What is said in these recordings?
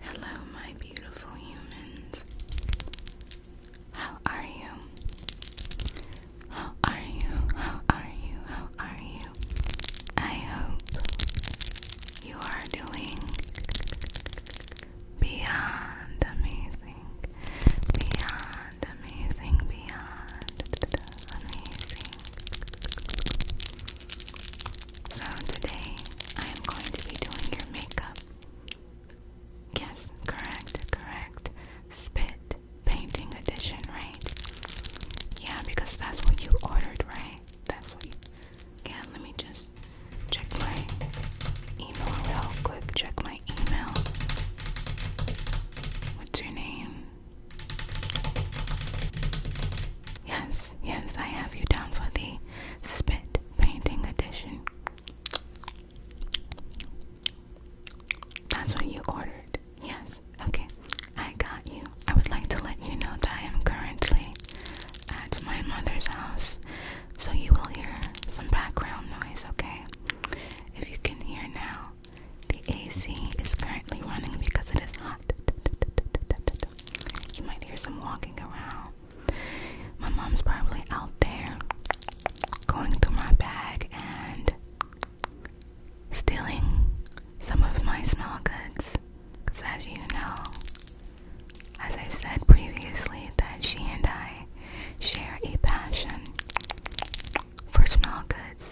Hello, my beautiful humans. How are you? How are you? How are you? How are you? I hope you are doing beyond amazing, beyond amazing beyond, amazing. So today I am going to be doing your makeup. Yes, correct, correct. Spit painting edition, right? Yeah, because that's what you ordered, right? That's what you Yeah, let me just check my email real quick. Check my email. What's your name? Yes, yes, I have you down for the spit painting edition. That's what you ordered. Yes, okay, I got you. I would like to let you know that I am currently at my mother's house, so you will hear some background noise, okay? If you can hear now, the AC is currently running because it is hot. You might hear some walking around. My mom's probably out there going through my bag and stealing some of my smell goods. Because, as you know, as i said previously, that she and I share a passion for smell goods.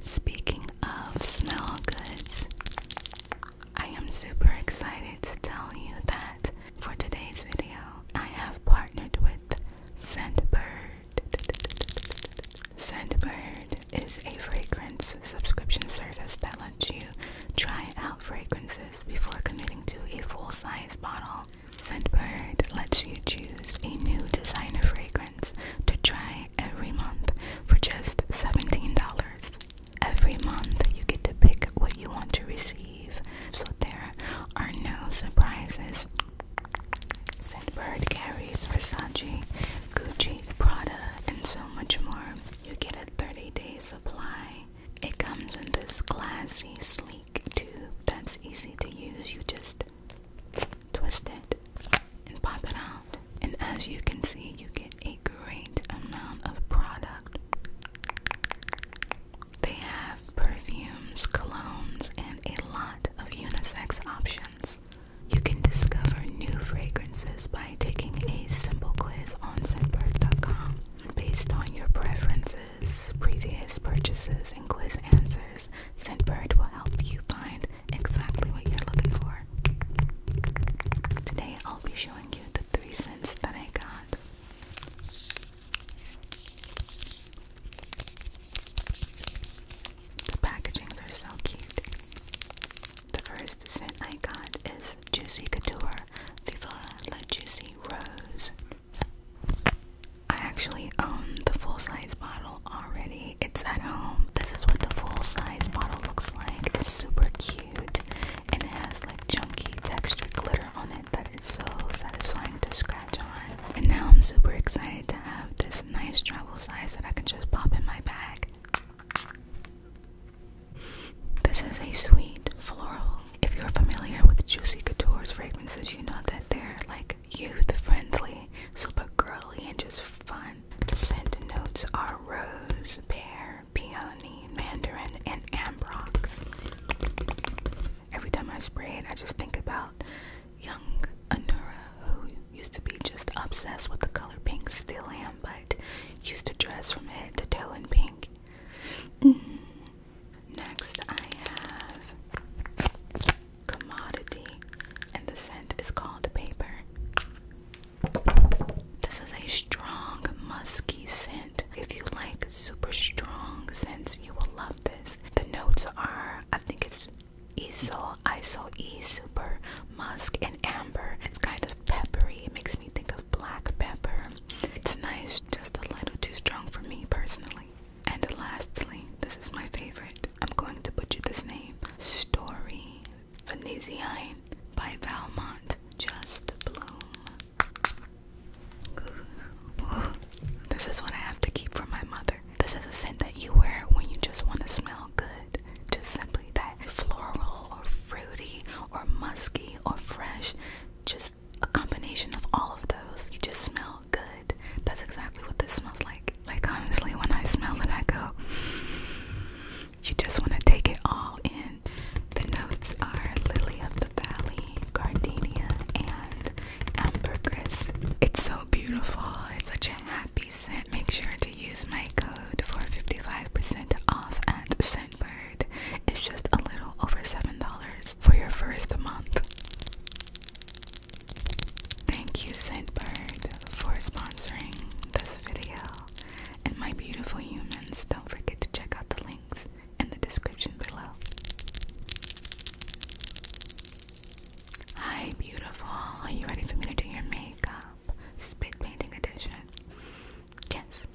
Speaking of smell goods, I am super excited to tell you that for today's video, I have partnered with Scentbird. Scentbird is a fragrance subscription service that lets you try out fragrances before committing to a full size bottle. Scentbird lets you choose a new designer fragrance to try every month for just $17. Every month, you get to pick what you want to receive, so there are no surprises. Scent Bird carries Versace, Gucci, Prada, and so much more. You get a 30 day supply. It comes in this classy, sleek tube that's easy to use. You just twist it, and pop it out. And as you can see, you get a great amount of product. They have perfumes, colognes, and a lot of unisex options. You can discover new fragrances by taking a simple quiz on Scentbird.com based on your preferences, previous purchases, and quiz answers. Scentbird will help you find exactly what you're looking for. Today I'll be showing you the three scents that I got. The packagings are so cute. The first scent I got is Juicy Couture the Juicy Rose. I actually own the full size bottle already. It's at home. This is what the full size bottle looks like. It's super cute and it has like chunky texture glitter on it that is so satisfying to scratch on. And now I'm super excited to have this nice travel size that I can just pop in my bag. This is a sweet floral. If you're familiar with Juicy Couture's fragrances, you know that they're like like youth-friendly, super girly, and just fun. The scent notes are rose, pear, peony, mandarin, and ambrox. Every time I spray it, I just think about young Anura, who used to be just obsessed with the color pink, still am, but used to dress from head to toe in pink. Mm-hmm. Next, I have commodity and the scent is called paper. This is a strong musky scent. If you like super strong scents, you will love this. The notes are I think it's Isol, Isol E super musk and amber. It's kind of peppery. It makes me think of black pepper. It's nice, just a little too strong for me personally. And lastly, this is my favorite. I'm going to put you this name. Story Venezian by Valmont. Just bloom. This is what I have to keep for my mother. This is a scent that you wear when you just want to smell good. Just simply that floral or fruity or musky or fresh. Just a combination of all of those. You just smell good. That's exactly what this smells like. Like honestly, when I smell it, I go. You just want to take it all in. The notes are lily of the valley, gardenia, and ambergris. It's so beautiful. It's such a happy scent. Make sure to use my code for 55% off at Scentbird. It's just a little over $7 for your first month. Thank you, Scentbird, for sponsoring this video. And my beautiful humans, don't forget to check out the links in the description below. Hi, beautiful. Are you ready for me to do your makeup? Spit edition. Yes.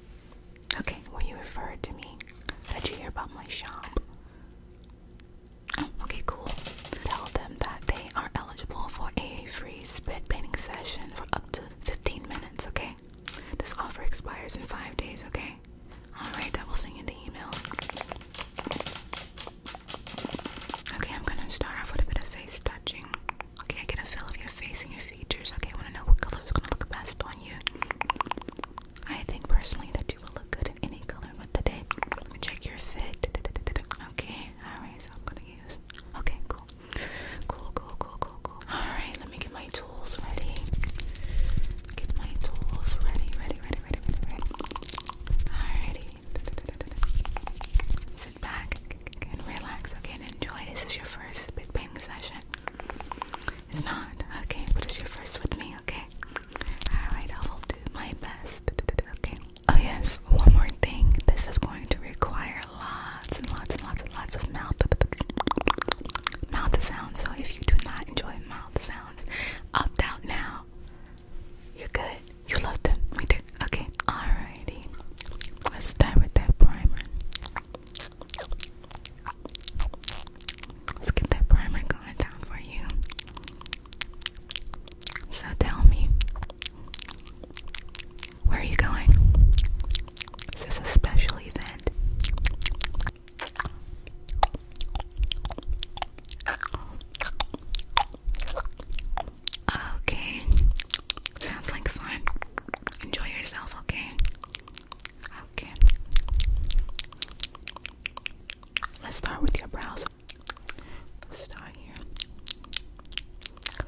Okay, well, you referred to me. did you hear about my shop? Oh, okay, cool. Tell them that they are eligible for a free spit painting session for up to 15 minutes, okay? This offer expires in five days, okay? Alright, I will send you the email. Okay, I'm gonna start off with a bit of face touching. Okay, I get a feel of your face and your features. Okay, I wanna know what color is gonna look best on you. I think personally that you will look good in any color what the date? Let me check your fit. Okay, alright, so I'm gonna use. Okay, cool. Cool, cool, cool, cool, cool. Alright, let me get my tools ready. Get my tools ready, ready, ready, ready, ready, ready. Alrighty. Sit back and relax, okay, and enjoy. This is your first big bang session. It's not, okay, but it's your first with me, okay? Alright, I will do my best. Okay. Oh yes, one more thing. This is going to require lots and lots and lots and lots of mouth mouth sounds. So if you do not enjoy mouth sounds, opt out now. You're good. You love them. We do. Okay. Alrighty. Let's start with that primer. Let's get that primer going down for you. So tell me, where are you going? Is this a special event? Okay, sounds like fun. Enjoy yourself, okay? Okay. Let's start with your brows, Let's start here.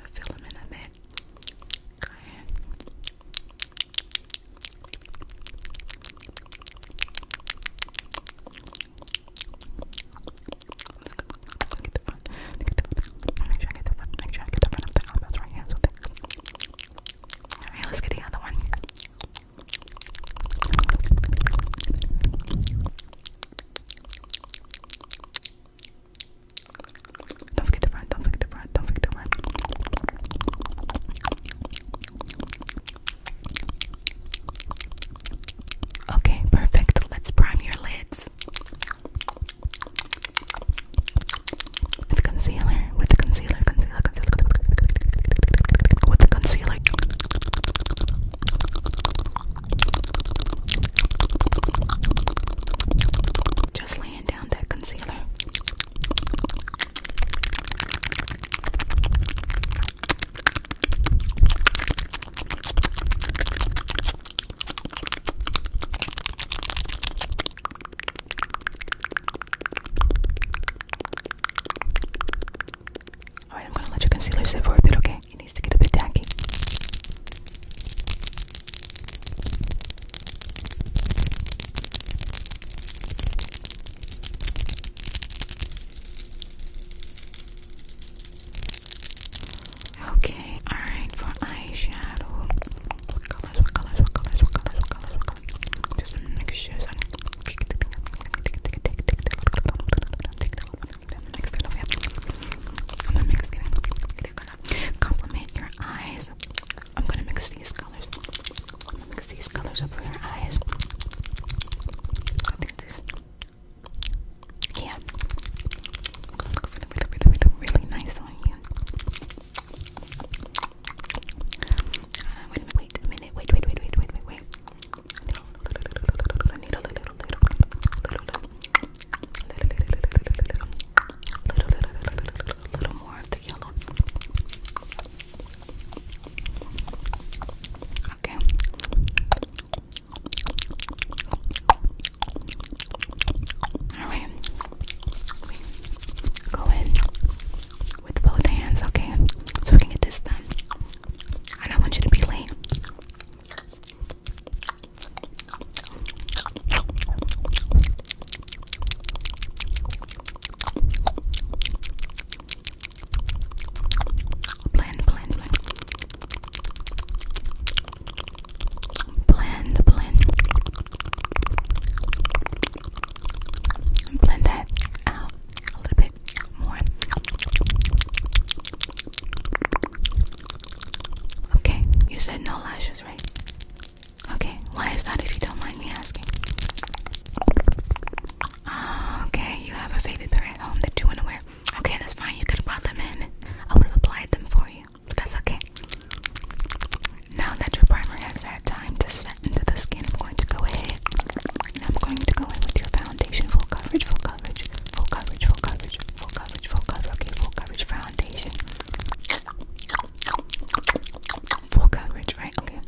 Let's fill them in a bit. Go ahead. Let's get Get the front. Make sure I get the front. Make sure I get the front of the elbows right here. Alright, let's get the other one. Don't forget to run, don't forget to run, don't forget to run. Okay, perfect. Let's prime your lids. It's concealer with the concealer, concealer, the concealer. Just laying down that concealer. Alright, I'm gonna let your concealer sit for a bit, okay? It needs to get a bit tacky. Okay, alright, for eyeshadow. I'm gonna mix your eyes. I'm gonna mix these colors. I'm going mix these colors over your eyes. I think this. Yeah. Looks really, nice on you. Uh, wait a minute, wait, wait, wait, wait, wait, wait, wait. Okay. All right. Go in with both hands, okay? So we can get this done. I don't want you to be lame. Blend, blend, blend. Blend, blend. Blend that out a little bit more. Okay, you said no lashes, right? Okay, why is that if you don't mind me asking? Ah, okay, you have a faded pair at home that you want to wear. Okay, that's fine. You could have brought them in. I would have applied them for you, but that's okay. Now that your primer has had time to set into the skin, I'm going to go ahead I'm going to go in with your foundation, full coverage, full coverage, full coverage, full coverage, full coverage, full coverage, okay, full coverage foundation. Full coverage, right? Okay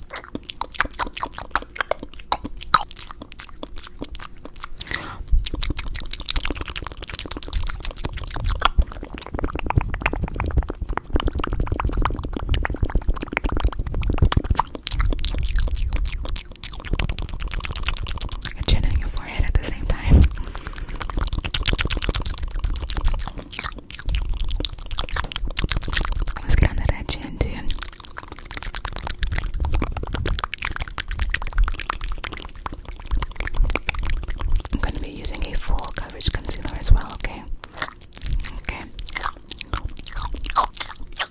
chin and your forehead at the same time. Let's get under that chin, dude. I'm gonna be using a full coverage concealer as well, okay? Okay a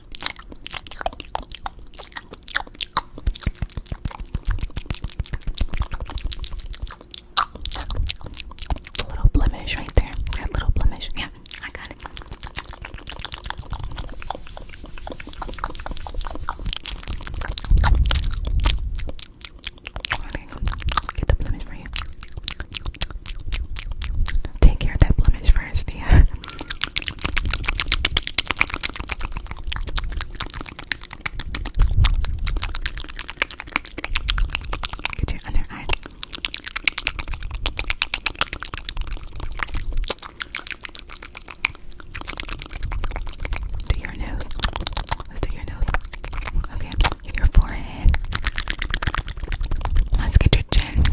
little blemish right there. That little blemish. Yeah, I got it. get the blemish for you. Take care of that blemish first, yeah. Get your under eye. Do your nose. Let's do your nose. Okay, get your forehead. Let's get your chin.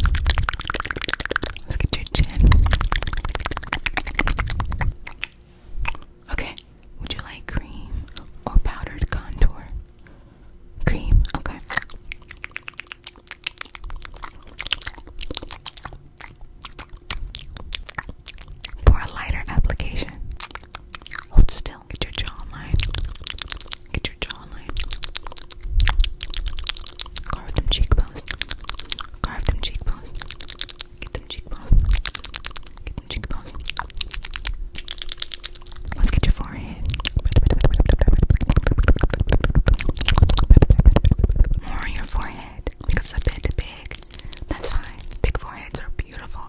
Look at your chin. Okay, would you like cream or powdered contour? Cream, okay. For a lighter application, hold still. Get your jawline. Get your jawline. Carve them cheekbones. Carve them cheekbones. Get them cheekbones. Get them cheekbones. Let's get your forehead. More on your forehead because a bit big. That's fine. Big foreheads are beautiful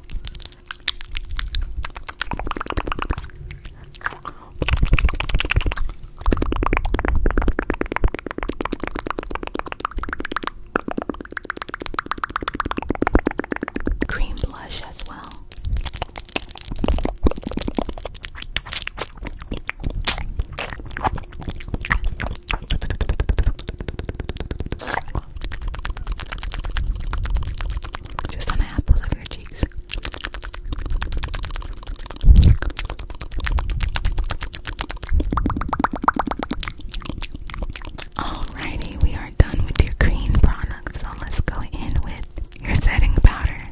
cream blush as well. Just on the apples of your cheeks. Alrighty, we are done with your cream products. so let's go in with your setting powder.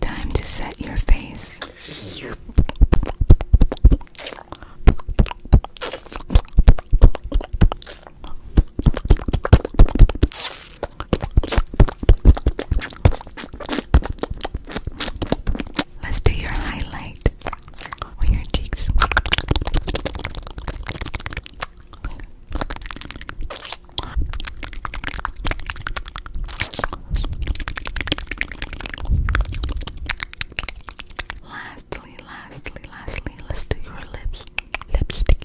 Time to set your face. Let's do your highlight on your cheeks. Lastly, lastly, lastly, let's do your lips. Lipstick.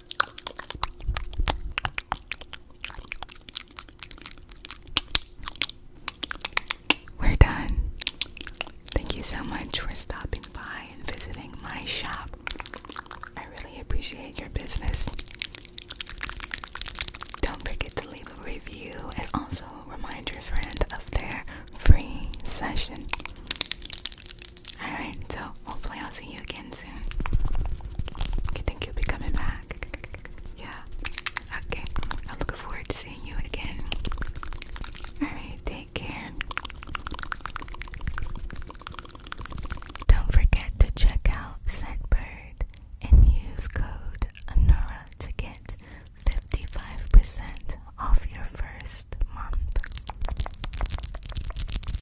We're done. Thank you so much for stopping by and visiting my shop. I really appreciate your business. Don't forget to leave a review and also remind your friend of their free session. Alright, so hopefully I'll see you again soon. Okay, thank you'll be coming back. Yeah. Okay. I'm forward to seeing you again. Alright, take care. Don't forget to check out Scentbird and use code ANORA to get 55% off your first month.